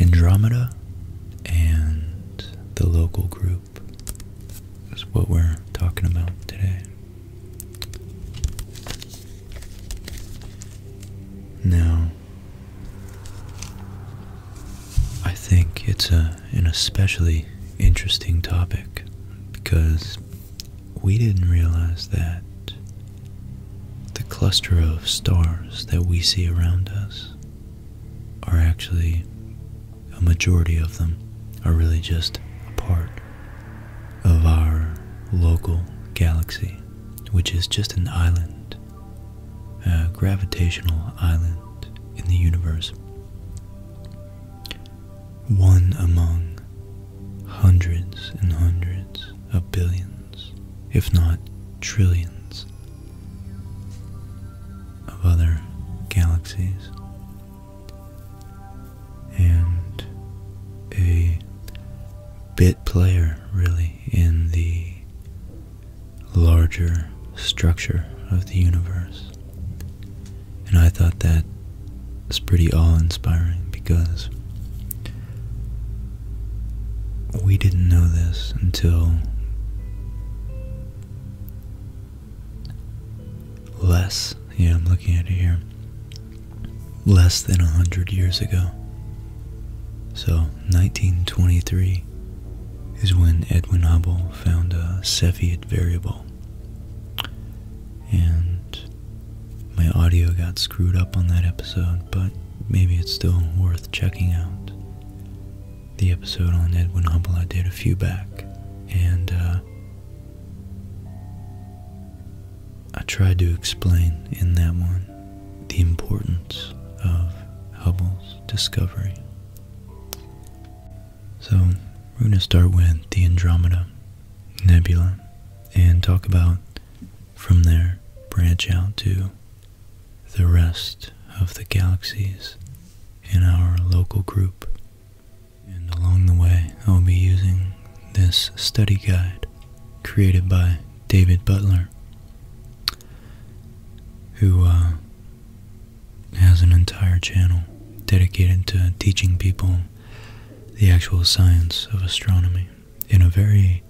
Andromeda and the local group is what we're talking about today. Now, I think it's a, an especially interesting topic because we didn't realize that the cluster of stars that we see around us are actually, a majority of them, are really just a part of our local galaxy, which is just an island a gravitational island in the universe, one among hundreds and hundreds of billions, if not trillions, of other galaxies. And a player, really, in the larger structure of the universe. And I thought that was pretty awe-inspiring because we didn't know this until less, yeah, I'm looking at it here, less than a hundred years ago. So 1923 is when Edwin Hubble found a Cepheid variable. And my audio got screwed up on that episode, but maybe it's still worth checking out. The episode on Edwin Hubble I did a few back, and uh, I tried to explain in that one the importance of Hubble's discovery. So, we're going to start with the Andromeda Nebula and talk about from there, branch out to the rest of the galaxies in our local group. And along the way, I'll be using this study guide created by David Butler, who uh, has an entire channel dedicated to teaching people the actual science of astronomy in a very,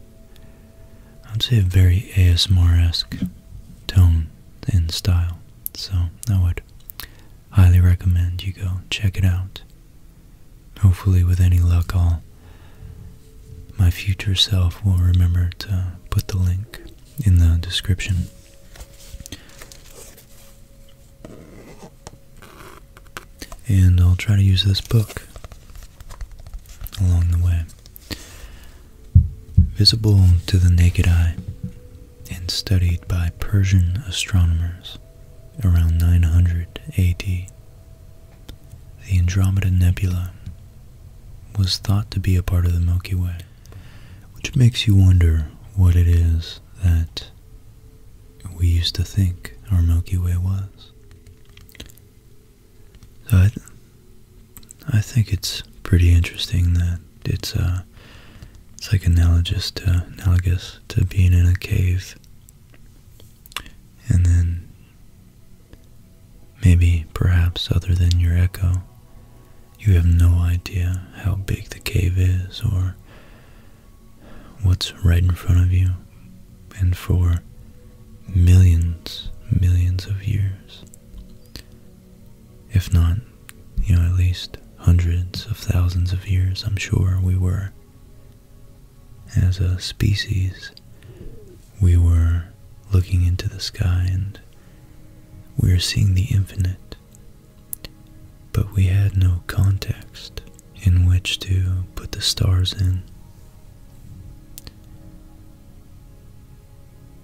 I'd say, a very ASMR esque tone and style. So I would highly recommend you go check it out. Hopefully, with any luck, I'll my future self will remember to put the link in the description. And I'll try to use this book along the way. Visible to the naked eye and studied by Persian astronomers around 900 AD the Andromeda Nebula was thought to be a part of the Milky Way, which makes you wonder what it is that we used to think our Milky Way was. So I, think it's pretty interesting that it's uh, it's like analogous to analogous to being in a cave and then Maybe, perhaps, other than your echo, you have no idea how big the cave is or what's right in front of you. And for millions, millions of years, if not, you know, at least hundreds of thousands of years, I'm sure we were as a species, we were looking into the sky and we were seeing the infinite, but we had no context in which to put the stars in.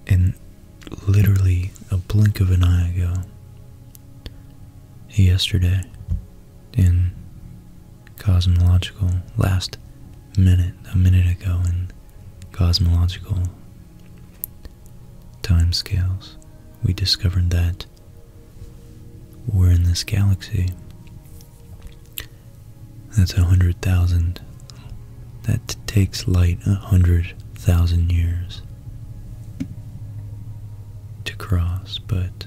And literally a blink of an eye ago, yesterday, in cosmological last minute, a minute ago in cosmological timescales, we discovered that we're in this galaxy that's a hundred thousand that takes light a hundred thousand years to cross but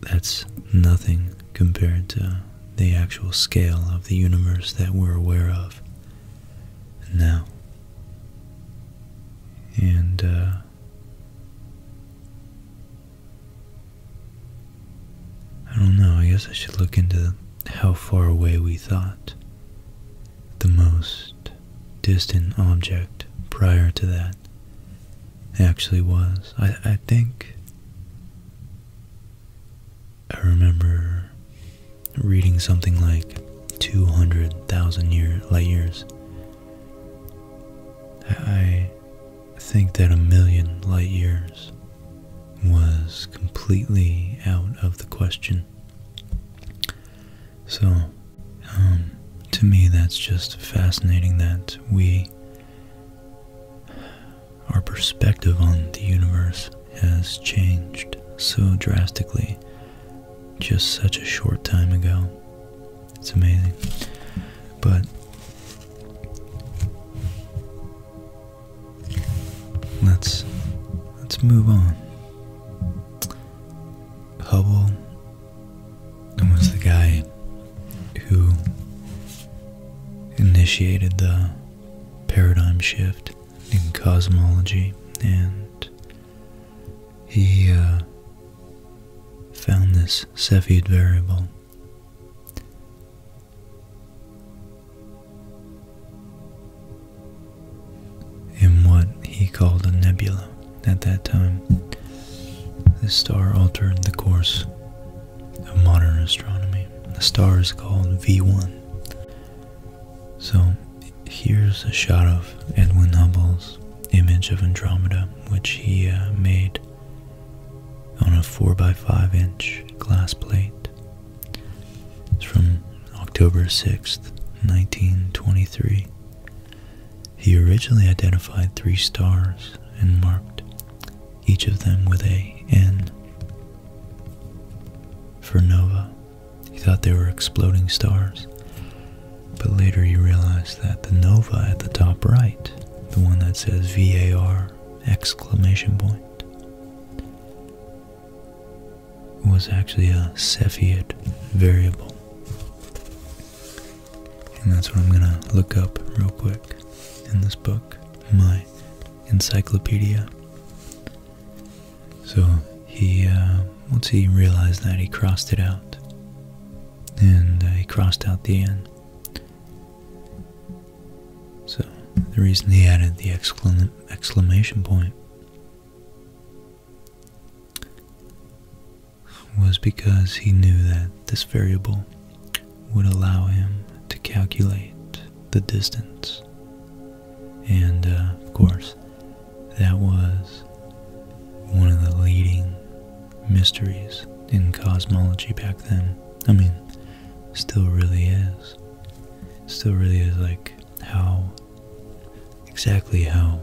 that's nothing compared to the actual scale of the universe that we're aware of now. And, uh, I don't know, I guess I should look into how far away we thought the most distant object prior to that actually was. I, I think I remember reading something like 200,000 year, light years. I think that a million light years was completely out of the question. So, um, to me, that's just fascinating that we our perspective on the universe has changed so drastically just such a short time ago. It's amazing. But let's let's move on. Hubble and was the guy who initiated the paradigm shift in cosmology and he uh, found this Cepheid variable in what he called a nebula. At that time, this star altered the course of modern astronomy. The star is called V1. So here's a shot of Edwin Hubble's image of Andromeda, which he uh, made on a 4x5 inch glass plate. It's from October 6th, 1923. He originally identified three stars and marked each of them with a N. For nova, he thought they were exploding stars, but later he realized that the nova at the top right, the one that says VAR exclamation point, was actually a Cepheid variable. And that's what I'm going to look up real quick in this book, my encyclopedia. So he, uh, once he realized that, he crossed it out. And uh, he crossed out the N. So the reason he added the exclamation point was because he knew that this variable would allow him to calculate the distance. And uh, of course, that was one of the leading mysteries in cosmology back then. I mean, still really is. Still really is like how exactly how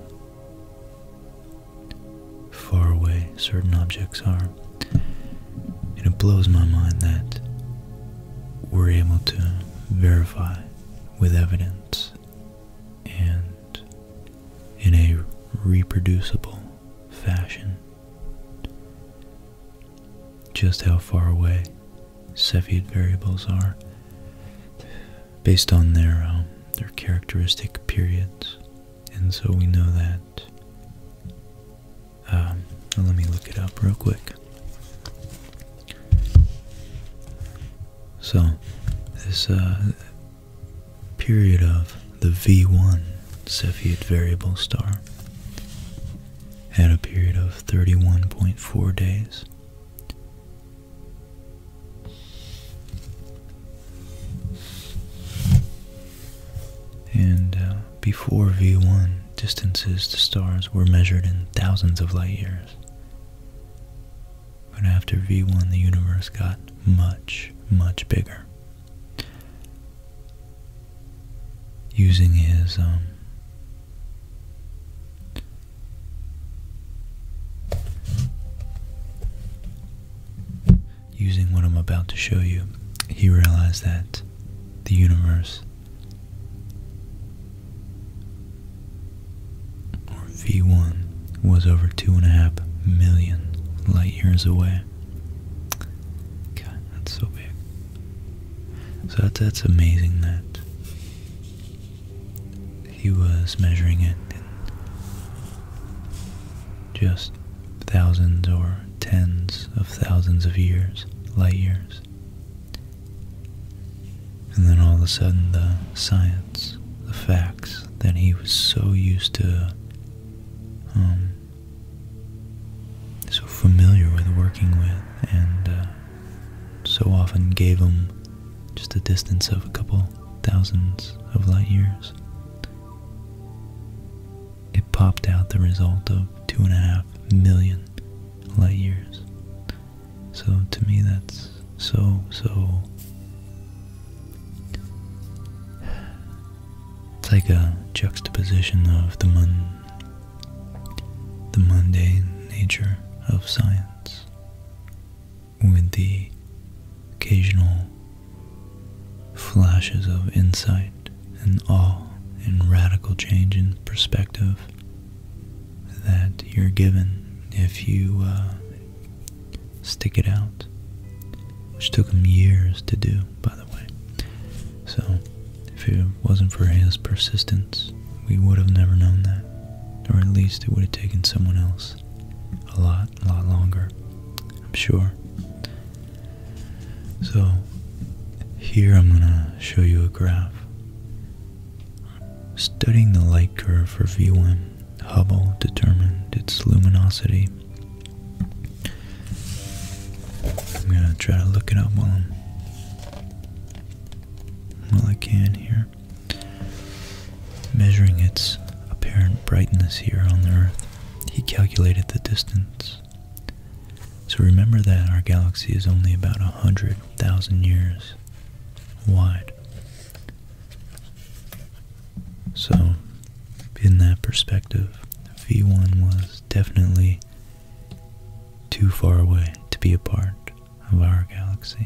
far away certain objects are. And it blows my mind that we're able to verify with evidence and in a reproducible fashion just how far away Cepheid variables are based on their um, their characteristic periods and so we know that. Um, let me look it up real quick. So, this uh, period of the V1 Cepheid variable star had a period of 31.4 days. And uh, before V1, distances to stars were measured in thousands of light years. But after V1, the universe got much, much bigger. Using his um, using what I'm about to show you, he realized that the universe, or V1, was over two and a half million light years away. God, that's so big. So that's, amazing that he was measuring it in just thousands or tens of thousands of years, light years. And then all of a sudden, the science, the facts that he was so used to, um, so familiar with working with, and uh, so often gave him just a distance of a couple thousands of light years. It popped out the result of two and a half million light years. So to me, that's so, so. It's like a juxtaposition of the the mundane nature of science with the occasional flashes of insight and awe and radical change in perspective that you're given if you uh, stick it out, which took him years to do, by the way. So, if it wasn't for his persistence, we would have never known that, or at least it would have taken someone else a lot a lot longer, I'm sure. So, here I'm going to show you a graph. Studying the light curve for V1, Hubble determined its luminosity. I'm going to try to look it up while, I'm, while I can here. Measuring its apparent brightness here on the Earth. He calculated the distance. So remember that our galaxy is only about 100,000 years wide. So, in that perspective, V1 was definitely too far away to be a part of our galaxy.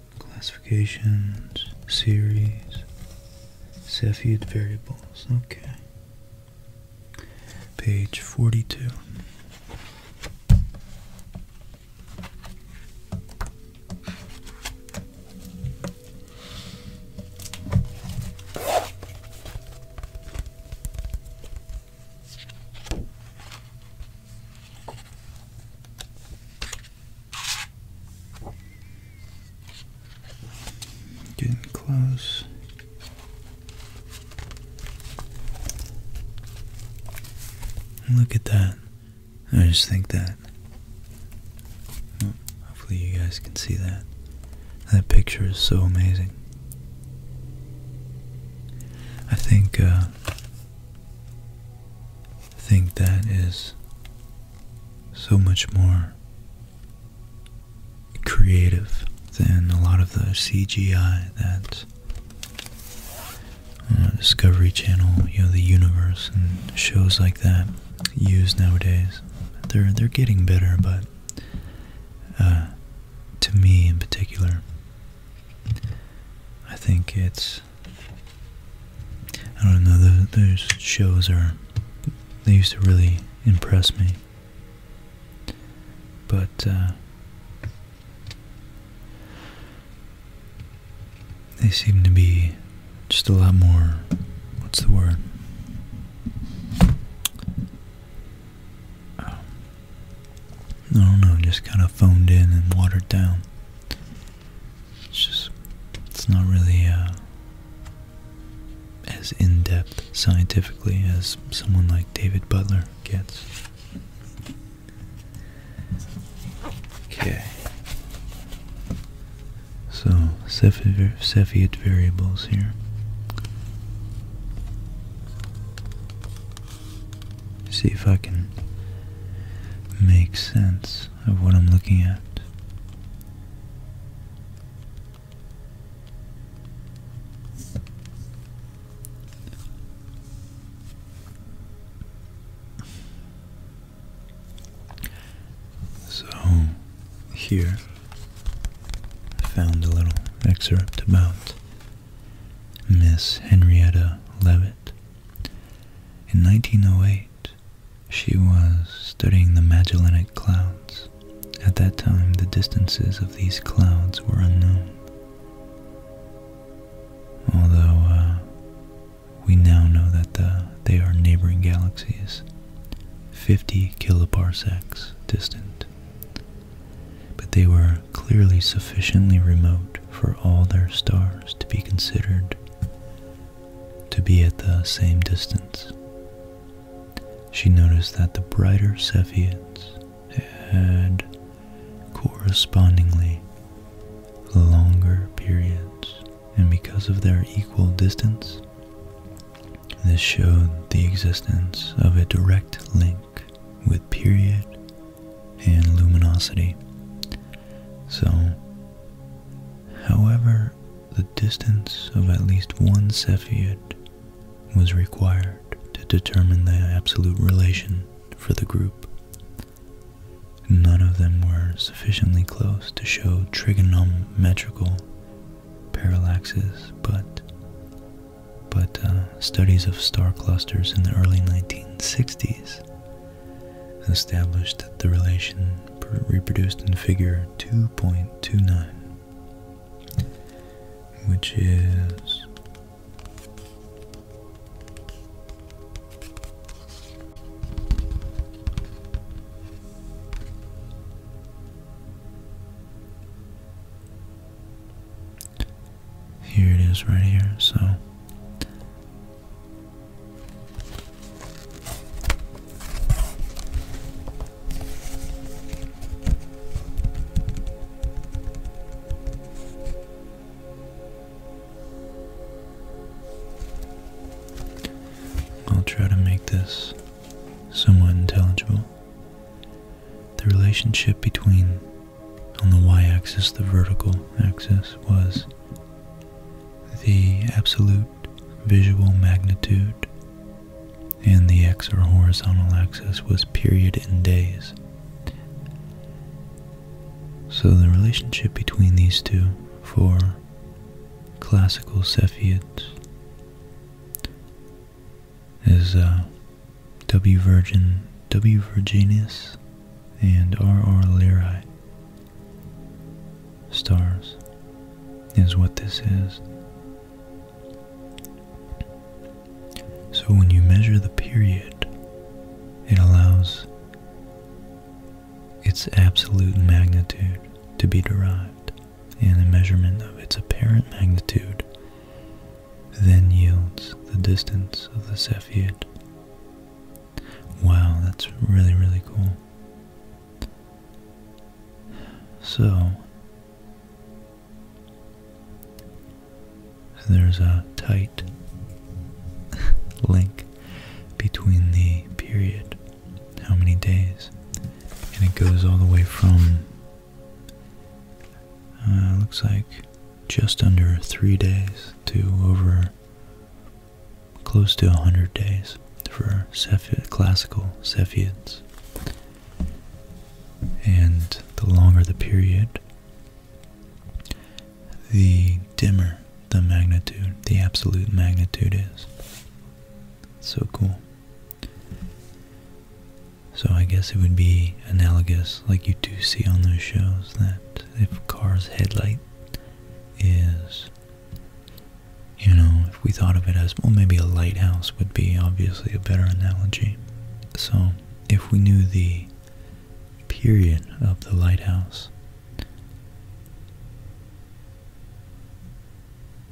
classifications, series, Cepheid variables. Okay. Page 42. Getting close. Look at that. I just think that. hopefully, you guys can see that. That picture is so amazing. I think uh, think that is so much more creative than a lot of the CGI that uh, Discovery Channel, you know, the universe and shows like that use nowadays. They're they're getting better, but uh, to me in particular, I think it's I don't know, those, shows are, they used to really impress me. But, uh, they seem to be just a lot more, what's the word? Um, I don't know, just kind of phoned in and watered down. It's just, it's not really uh, as in depth scientifically as someone like David Butler gets. Okay. So, Cepheid variables here. See if I can make sense of what I'm looking at. So, here I found a little excerpt about Miss Henrietta Levitt In 1908, she was studying the Magellanic Clouds. At that time, the distances of these clouds were unknown. Although uh, we now know that uh, they are neighboring galaxies, 50 kiloparsecs distant. But they were clearly sufficiently remote for all their stars to be considered to be at the same distance. She noticed that the brighter Cepheids had correspondingly longer periods, and because of their equal distance, this showed the existence of a direct link with period and luminosity, so, however, the distance of at least one Cepheid was required to determine the absolute relation for the group. None of them were sufficiently close to show trigonometrical parallaxes, but but uh, studies of star clusters in the early 1960s established that the relation reproduced in figure 2.29, which is Here it is right here, so I'll try to make this somewhat intelligible. The relationship between, on the y axis, the vertical axis was the absolute visual magnitude, and the x or horizontal axis was period in days. So the relationship between these two for classical Cepheids is uh, W. Virgin, W. Virginis and R.R. Lyrae. Stars is what this is. So when you measure the period, it allows its absolute magnitude to be derived, and a measurement of its apparent magnitude then yields the distance of the Cepheid. Wow, that's really, really cool. So, there's a tight link between the period, how many days, and it goes all the way from, uh, looks like just under three days to over close to 100 days for classical Cepheids. And the longer the period, the dimmer the magnitude, the absolute magnitude is. So cool. So I guess it would be analogous, like you do see on those shows, that if a car's headlight is you know, if we thought of it as, well, maybe a lighthouse would be obviously a better analogy. So, if we knew the period of the lighthouse,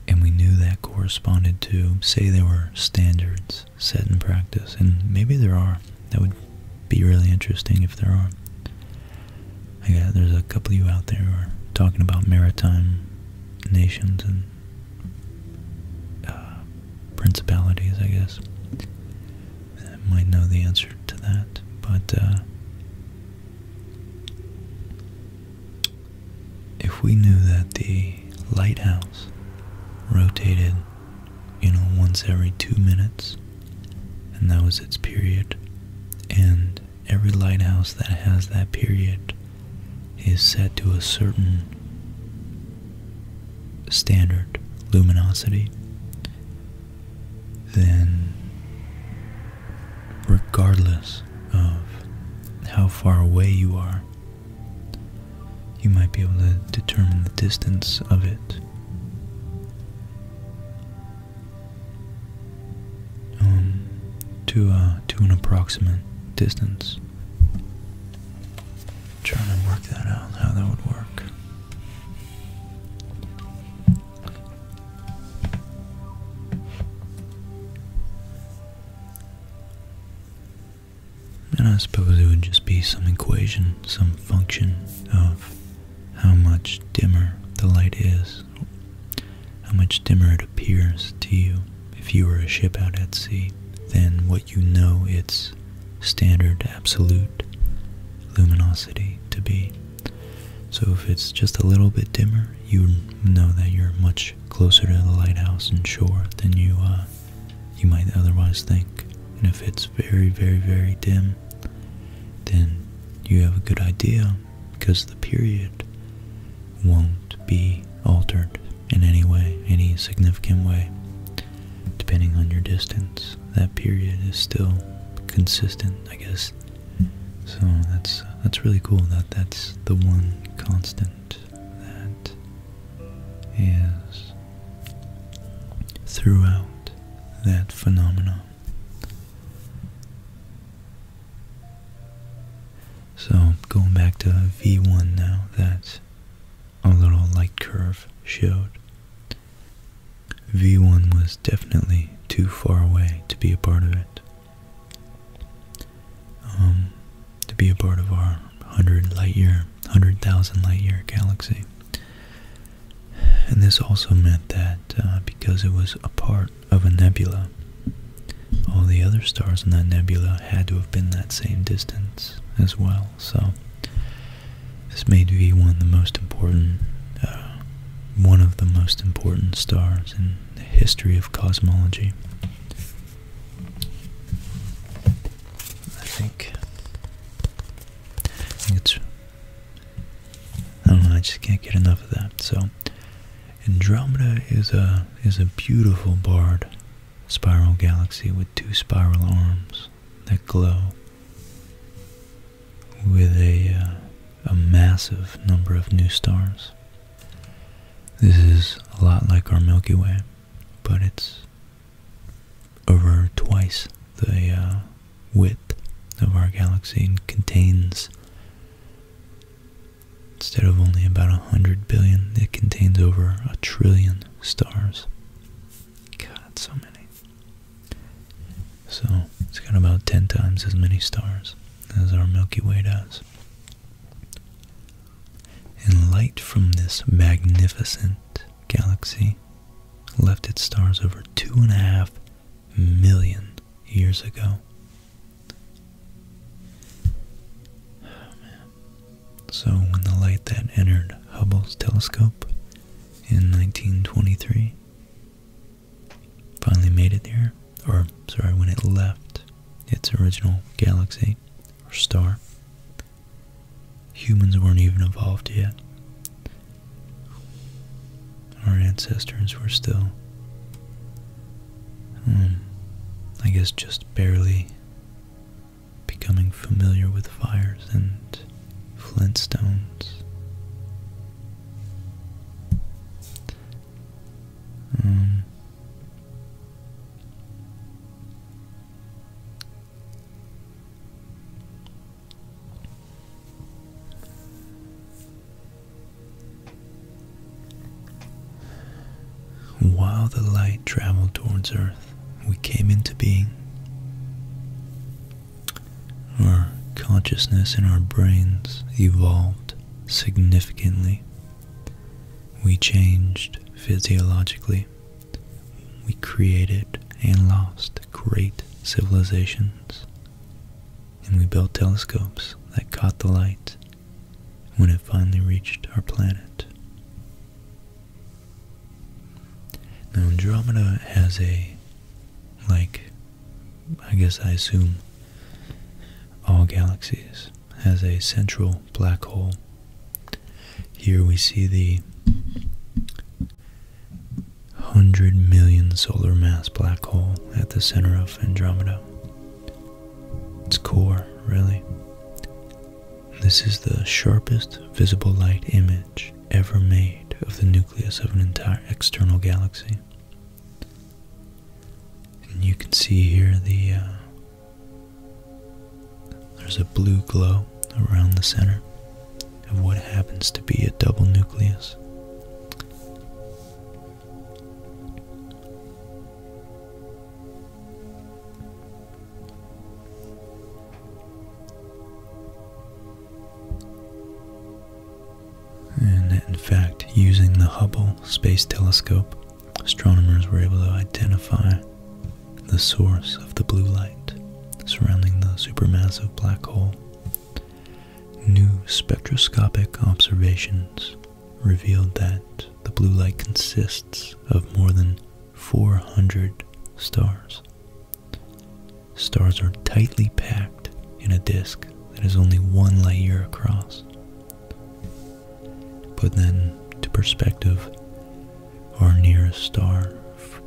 and we knew that corresponded to, say, there were standards set in practice, and maybe there are, that would be really interesting if there are. I there's a couple of you out there who are talking about maritime nations and uh, principalities, I guess. I might know the answer to that, but uh, if we knew that the lighthouse rotated, you know, once every two minutes, and that was its period. And every lighthouse that has that period is set to a certain standard luminosity, then, regardless of how far away you are, you might be able to determine the distance of it um, to uh, to an approximate distance. trying to work that out, how that would work. And I suppose it would just be some equation, some function of how much dimmer the light is, how much dimmer it appears to you if you were a ship out at sea than what you know its standard absolute luminosity to be. So if it's just a little bit dimmer, you know that you're much closer to the lighthouse and shore than you uh, you might otherwise think. And if it's very, very, very dim, then you have a good idea because the period won't be altered in any way, any significant way. Depending on your distance, that period is still consistent, I guess. So that's that's really cool that that's the one constant that is throughout that phenomenon. So going back to V1 now, that's a little light curve showed. V1 was definitely too far away to be a part of it. Um, to be a part of our 100 light year, 100,000 light year galaxy. And this also meant that uh, because it was a part of a nebula, all the other stars in that nebula had to have been that same distance as well. So this made V1 uh, one of the most important stars in the history of cosmology. I think it's I just can't get enough of that. So Andromeda is a is a beautiful barred spiral galaxy with two spiral arms that glow with a uh, a massive number of new stars. This is a lot like our Milky Way, but it's over twice the uh, width of our galaxy and contains, instead of only about 100 billion, it contains over a trillion stars. God, so many. So, it's got about 10 times as many stars as our Milky Way does. And light from this magnificent galaxy left its stars over two and a half million years ago. So, when the light that entered Hubble's telescope in 1923 finally made it here, or sorry, when it left its original galaxy or star, humans weren't even evolved yet our ancestors were still, hmm, I guess, just barely becoming familiar with fires and flintstones. Um, while the light traveled towards Earth, we came into being. Our consciousness and our brains evolved significantly. We changed physiologically. We created and lost great civilizations and we built telescopes that caught the light when it finally reached our planet. Now Andromeda has a, like, I guess I assume all galaxies, has a central black hole. Here we see the 100 million solar mass black hole at the center of Andromeda. Its core, really. This is the sharpest visible light image ever made of the nucleus of an entire external galaxy. And you can see here the uh, there's a blue glow around the center of what happens to be a double nucleus. And in fact, using the Hubble Space Telescope, astronomers were able to identify the source of the blue light surrounding the supermassive black hole New spectroscopic observations revealed that the blue light consists of more than 400 stars. Stars are tightly packed in a disk that is only one light year across. Put then to perspective, our nearest star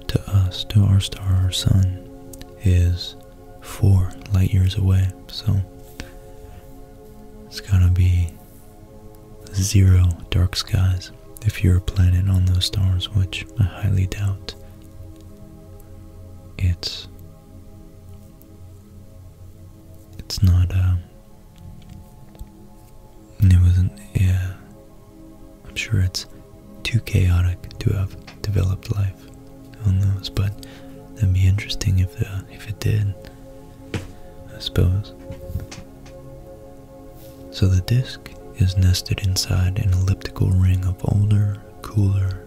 to us, to our star, our sun, is four light years away, so it's gonna be zero dark skies if you're a planet on those stars, which I highly doubt. It's it's not uh it wasn't yeah I'm sure it's too chaotic to have developed life on those, but that'd be interesting if uh, if it did. I suppose. So the disk is nested inside an elliptical ring of older, cooler,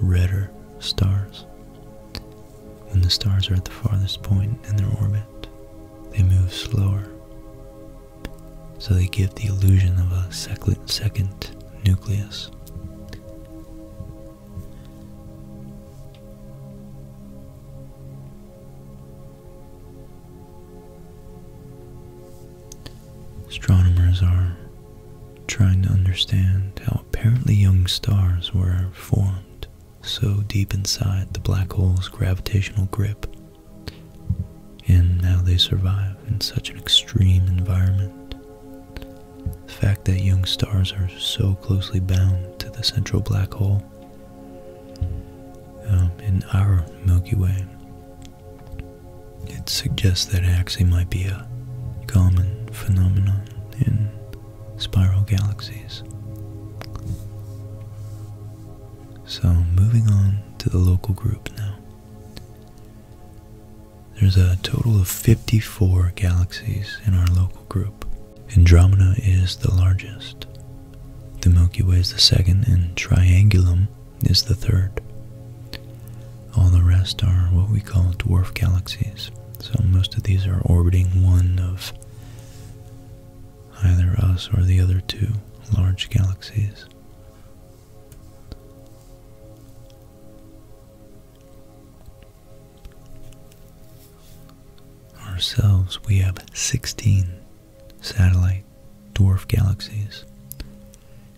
redder stars. When the stars are at the farthest point in their orbit, they move slower. So they give the illusion of a second second nucleus. Astronomers are trying to understand how apparently young stars were formed so deep inside the black hole's gravitational grip and how they survive in such an extreme environment the fact that young stars are so closely bound to the central black hole um, in our Milky Way, it suggests that it might be a common phenomenon in spiral galaxies. So, moving on to the local group now. There's a total of 54 galaxies in our local group. Andromeda is the largest. The Milky Way is the second, and Triangulum is the third. All the rest are what we call dwarf galaxies. So most of these are orbiting one of either us or the other two large galaxies. Ourselves, we have 16 satellite dwarf galaxies.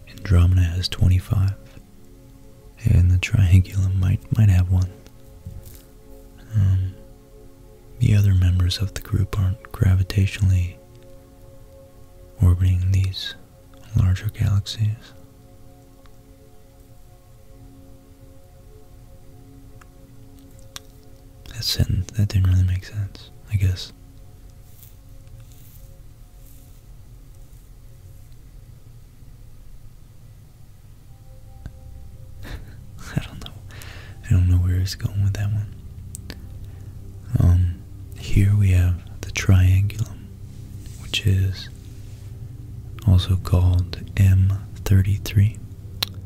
Andromeda has 25, and the Triangulum might might have one. Um, the other members of the group aren't gravitationally orbiting these larger galaxies. That sentence, that didn't really make sense, I guess. I don't know. I don't know where he's going with that one. Um, here we have the triangulum which is also called M33,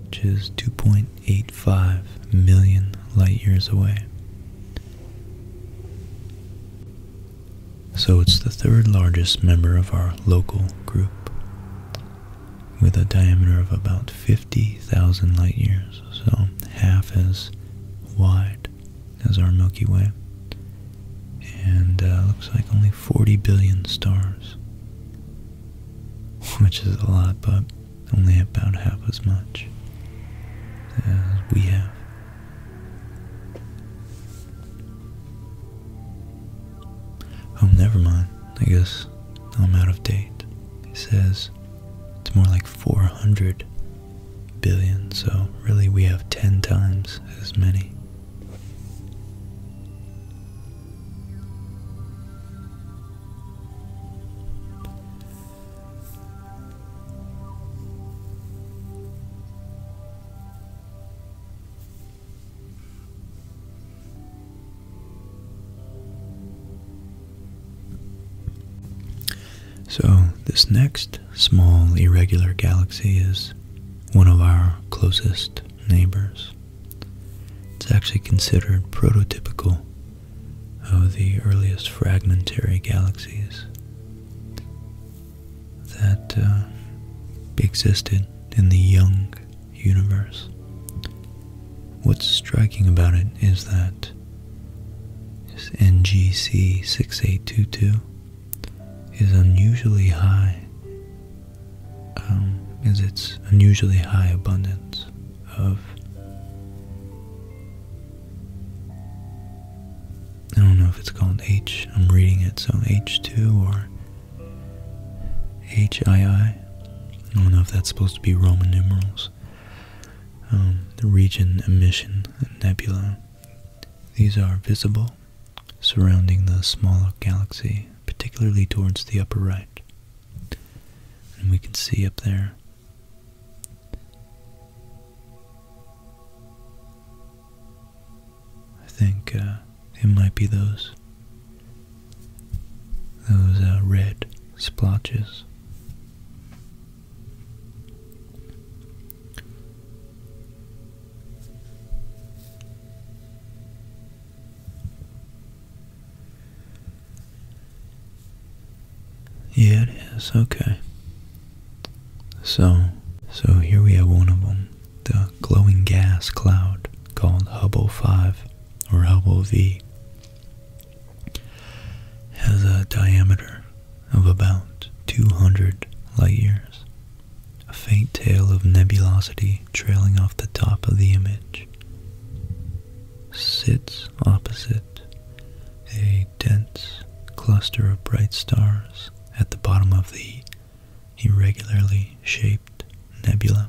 which is 2.85 million light years away. So it's the third largest member of our local group, with a diameter of about 50,000 light years, so half as wide as our Milky Way. And uh, looks like only 40 billion stars, which is a lot, but only about half as much as we have. Oh, never mind. I guess I'm out of date. It says it's more like 400 billion, so really we have 10 times as many. So, this next small irregular galaxy is one of our closest neighbors. It's actually considered prototypical of the earliest fragmentary galaxies that uh, existed in the young universe. What's striking about it is that it's NGC 6822 is unusually high, um, is its unusually high abundance of, I don't know if it's called H, I'm reading it, so H2 or HII, I don't know if that's supposed to be Roman numerals, um, the region emission nebula. These are visible, surrounding the smaller galaxy, particularly towards the upper right. And we can see up there I think uh, it might be those those are uh, red splotches. Yeah, it is. Okay. So, so here we have one of them, the glowing gas cloud called Hubble 5 or Hubble V has a diameter of about 200 light years, a faint tail of nebulosity trailing off the top of the image, sits opposite a dense cluster of bright stars at the bottom of the irregularly shaped nebula.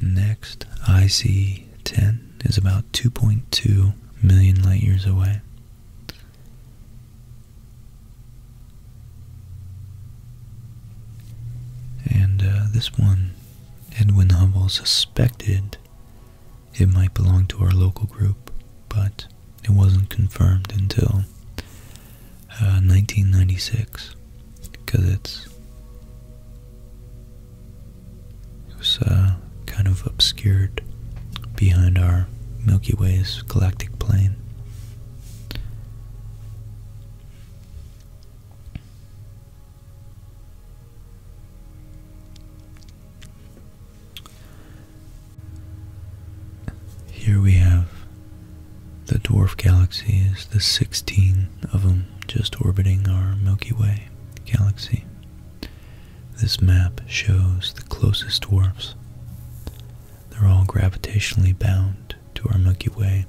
Next, IC 10 is about 2.2 million light years away. And uh, this one, Edwin Hubble suspected it might belong to our local group, but it wasn't confirmed until 1996 uh, because it's it was uh, kind of obscured behind our Milky Way's galactic plane. Here we have the dwarf galaxies the 16 of them just orbiting our Milky Way galaxy. This map shows the closest dwarfs. They're all gravitationally bound to our Milky Way.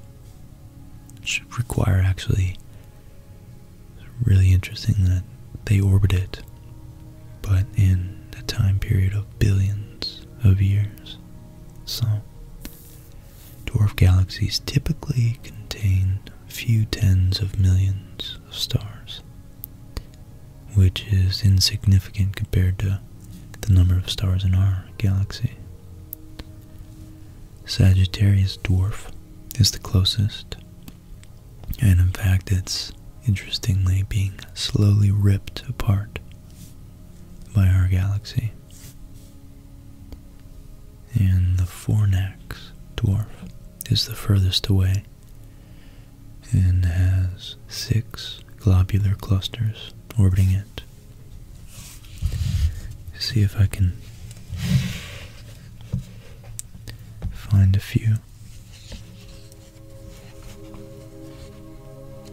It should require actually, really interesting that they orbit it, but in a time period of billions of years. So, dwarf galaxies typically contain a few tens of millions of stars, which is insignificant compared to the number of stars in our galaxy. Sagittarius dwarf is the closest, and in fact, it's interestingly being slowly ripped apart by our galaxy and the Fornax dwarf is the furthest away and has six globular clusters orbiting it. See if I can find a few.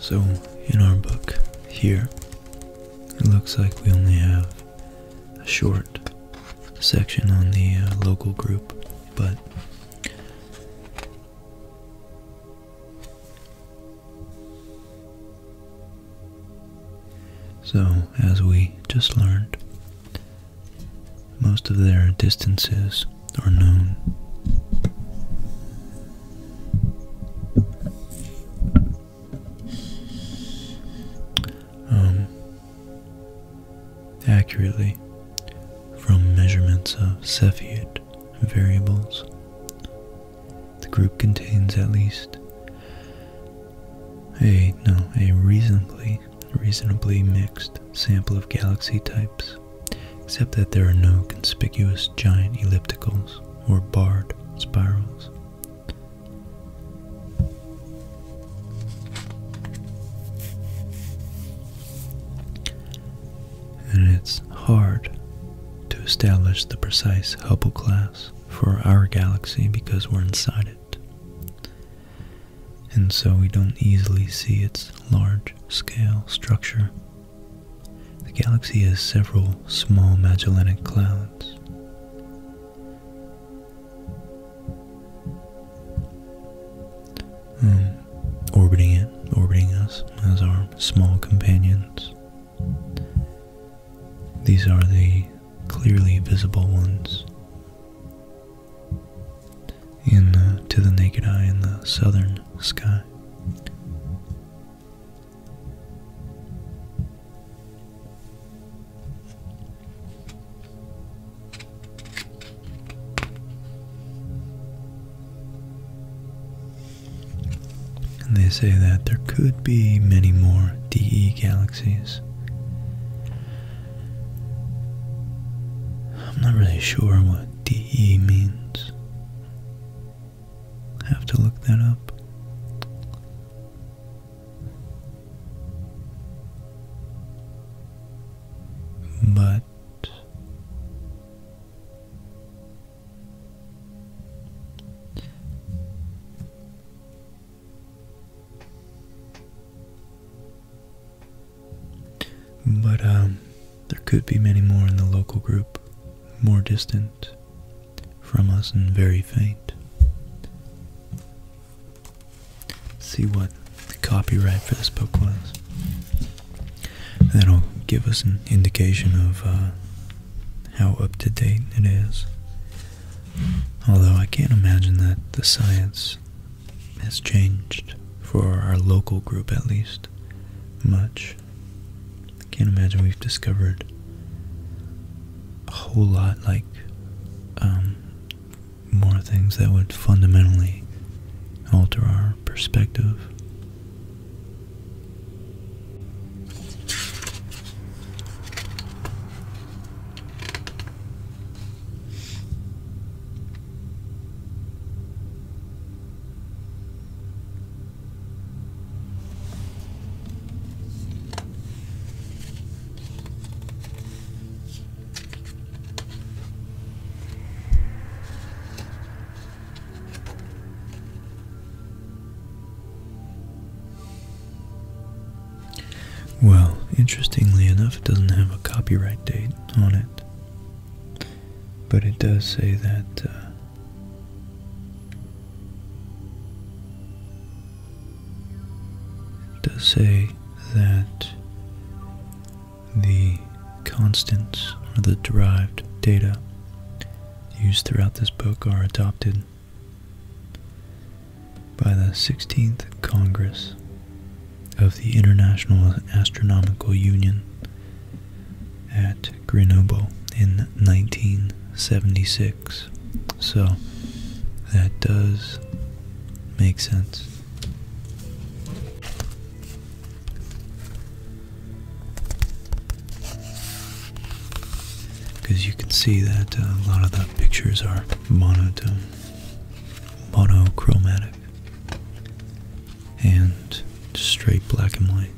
So, in our book here, it looks like we only have a short section on the uh, local group, but so as we just learned, most of their distances are known. Um, accurately from measurements of Cepheid variables. The group contains at least a no a reasonably reasonably mixed sample of galaxy types, except that there are no conspicuous giant ellipticals or barred spirals. And it's hard to establish the precise Hubble class for our galaxy because we're inside it. And so we don't easily see its large scale structure. The galaxy has several small Magellanic clouds. Hmm. orbiting it, orbiting us as our small companions. These are the clearly visible ones in to the naked eye in the southern sky. And they say that there could be many more DE galaxies. I'm not really sure what DE means. I have to look that up but but um, there could be many more in the local group, more distant from us and very faint see what the copyright for this book was. And that'll give us an indication of uh, how up to date it is. Although I can't imagine that the science has changed, for our local group at least, much. I can't imagine we've discovered a whole lot like um, more things that would fundamentally alter our perspective. Well, interestingly enough, it doesn't have a copyright date on it, but it does say that. Uh, does say that the constants or the derived data used throughout this book are adopted by the 16th Congress of the International Astronomical Union at Grenoble in 1976. So that does make sense. Because you can see that uh, a lot of the pictures are monotone, monochromatic, and straight black and white.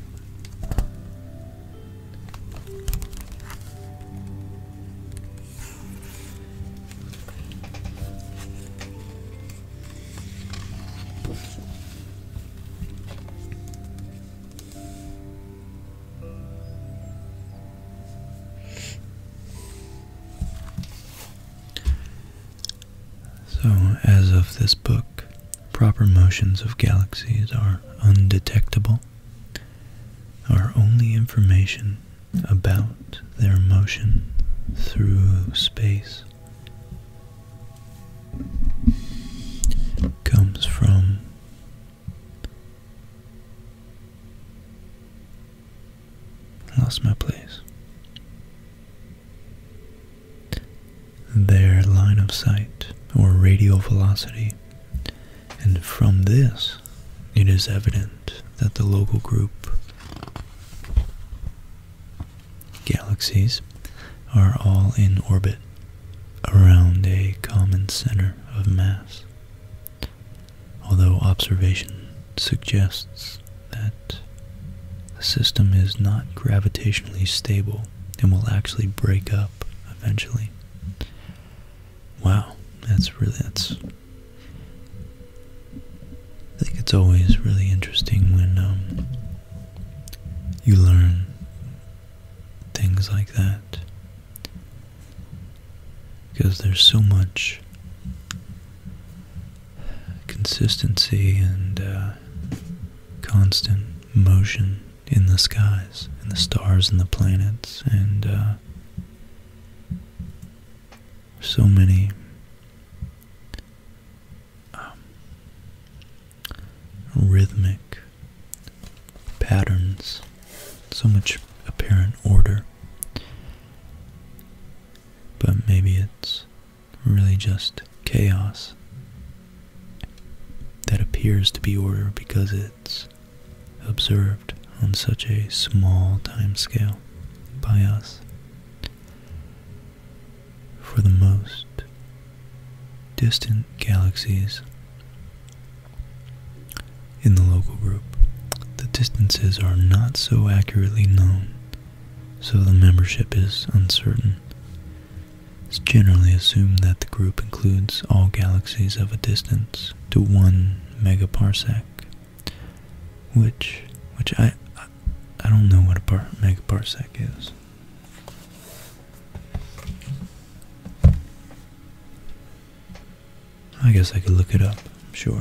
So, as of this book, proper motions of galaxies are undetectable. Our only information about their motion through space comes from lost my place their line of sight or radial velocity and from this it is evident that the local group Galaxies are all in orbit around a common center of mass, although observation suggests that the system is not gravitationally stable and will actually break up eventually. Wow, that's really that's I think it's always really interesting when um, you learn things like that because there's so much consistency and uh, constant motion in the skies, in the stars and the planets, and uh, so many um, rhythmic patterns, so much apparent order, but maybe it's really just chaos that appears to be order because it's observed on such a small time scale by us for the most distant galaxies in the local group. The distances are not so accurately known, so the membership is uncertain. It's generally assumed that the group includes all galaxies of a distance to 1 megaparsec which which I I, don't know what a megaparsec is. I guess I could look it up. Sure.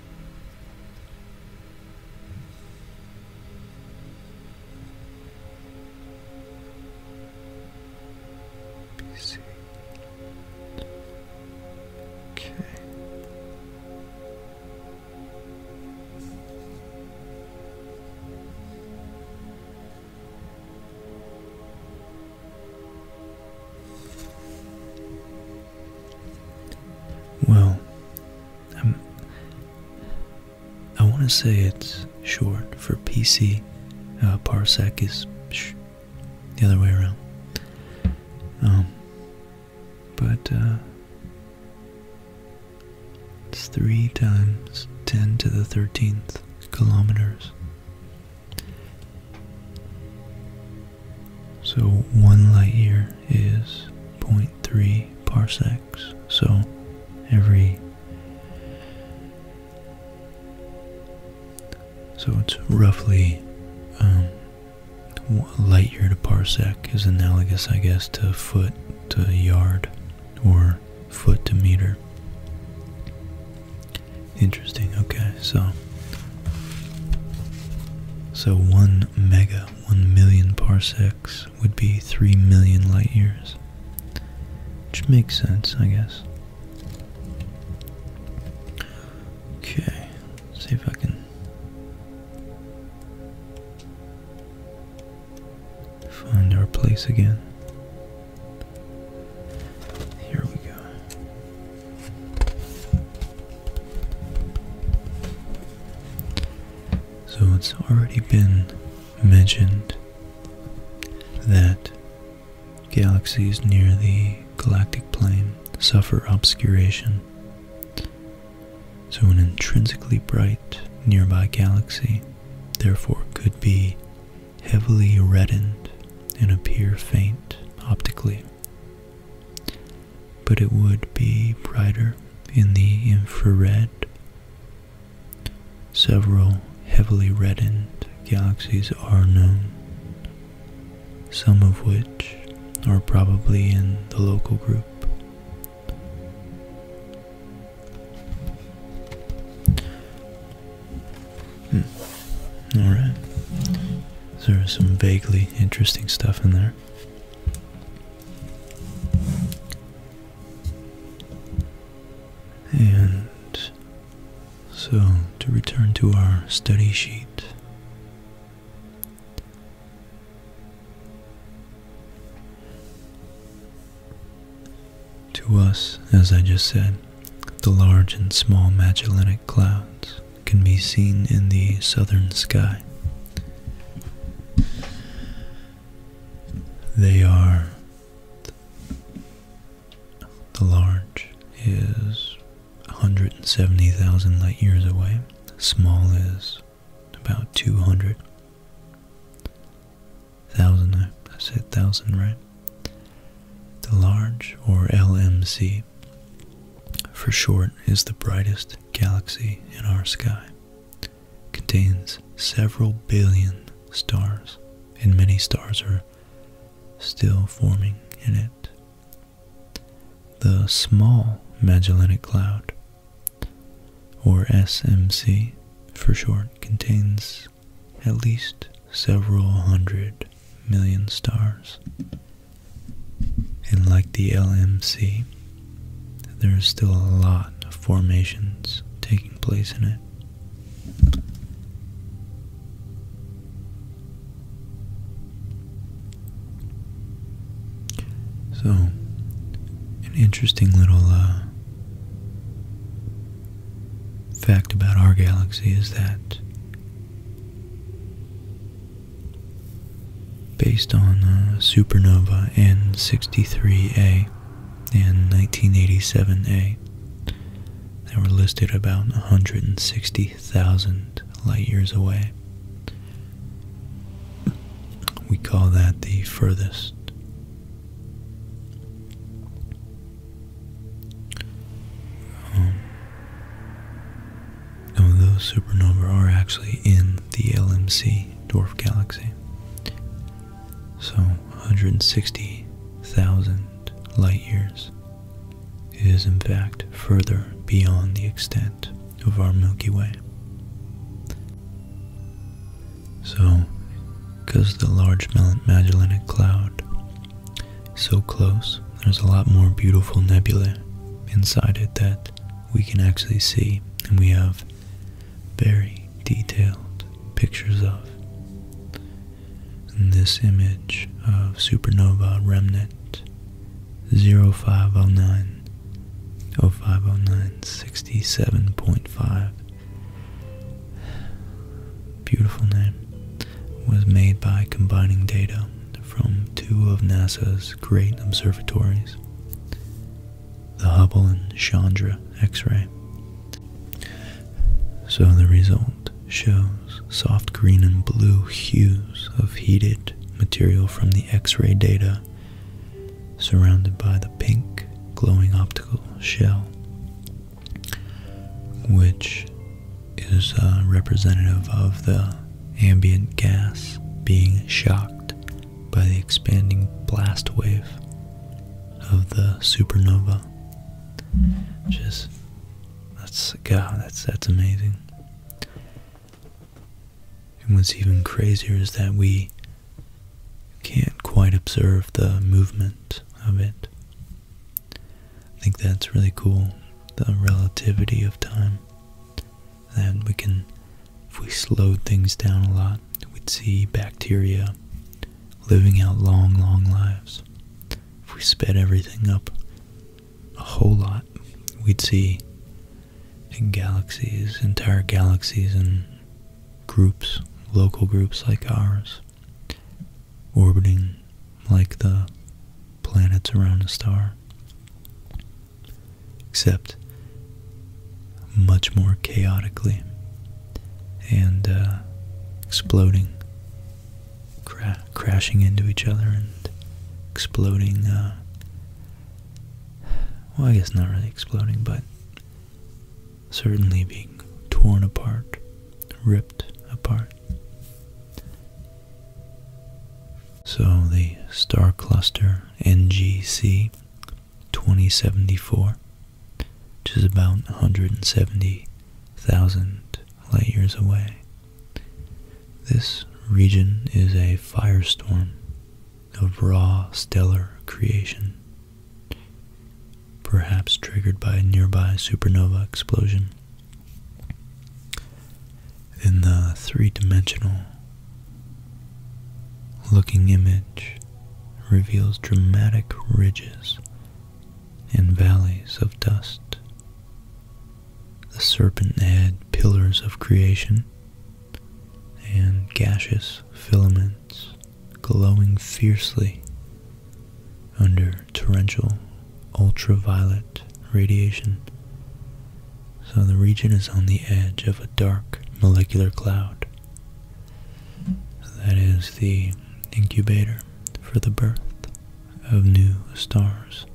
PC. Okay. Well, i want to say it's short for PC. Uh, parsec is the other way around. Um, but uh, it's three times 10 to the 13th kilometers so one light year is 0.3 parsecs. So every so it's roughly um, light year to parsec is analogous, I guess, to foot to yard or foot to meter. Interesting. Okay, so so one mega, one million parsecs would be three million light years, which makes sense, I guess. Okay, see if I can find our place again. Here we go. So it's already been mentioned that galaxies near the galactic plane suffer obscuration. So an intrinsically bright nearby galaxy therefore could be heavily reddened and appear faint optically but it would be brighter in the infrared. Several heavily reddened galaxies are known, some of which are probably in the local group. Hmm. All right. So there's some vaguely interesting stuff in there. And so to return to our study sheet. To us, as I just said, the large and small Magellanic clouds can be seen in the southern sky. They are the large is 170,000 light years away, small is about 200 thousand I said thousand right the large or LMC for short, is the brightest galaxy in our sky. Contains several billion stars, and many stars are still forming in it. The Small Magellanic Cloud, or SMC for short, contains at least several hundred million stars. And like the LMC, there is still a lot of formations taking place in it. So, an interesting little uh, fact about our galaxy is that Based on uh, supernova N63A and 1987A they were listed about 160,000 light years away. We call that the furthest. Um, of those supernovae are actually in the LMC dwarf galaxy. So 160,000 light years is in fact further beyond the extent of our Milky Way. So, because the Large Magellanic Cloud so close, there's a lot more beautiful nebulae inside it that we can actually see, and we have very detailed pictures of. this image of supernova remnant 0509 0509 Beautiful name was made by combining data from two of NASA's great observatories, the Hubble and Chandra X-ray. So the result shows soft green and blue hues of heated material from the X-ray data surrounded by the pink glowing optical shell, which is uh, representative of the ambient gas being shocked by the expanding blast wave of the supernova. Just that's God, that's that's amazing. And what's even crazier is that we can't quite observe the movement of it. I think that's really cool, the relativity of time then we can if we slowed things down a lot we'd see bacteria living out long long lives if we sped everything up a whole lot we'd see galaxies entire galaxies and groups local groups like ours orbiting like the planets around a star except much more chaotically and uh, exploding, crashing into each other and exploding. Uh, well, I guess not really exploding, but certainly being torn apart, ripped apart. So the star cluster NGC 2074, which is about 170,000 light years away, this region is a firestorm of raw stellar creation, perhaps triggered by a nearby supernova explosion in the three dimensional looking image reveals dramatic ridges and valleys of dust, the serpent head pillars of creation, and gaseous filaments glowing fiercely under torrential ultraviolet radiation. So the region is on the edge of a dark molecular cloud. That is the incubator for the birth of new stars.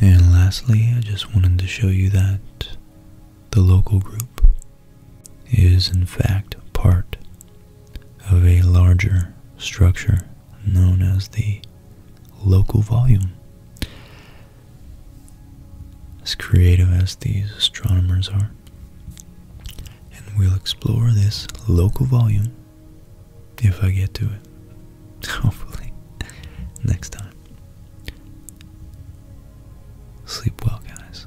And lastly, I just wanted to show you that the local group is in fact part of a larger structure known as the local volume. As creative as these astronomers are. And we'll explore this local volume if I get to it. Hopefully, next time. Sleep well, guys.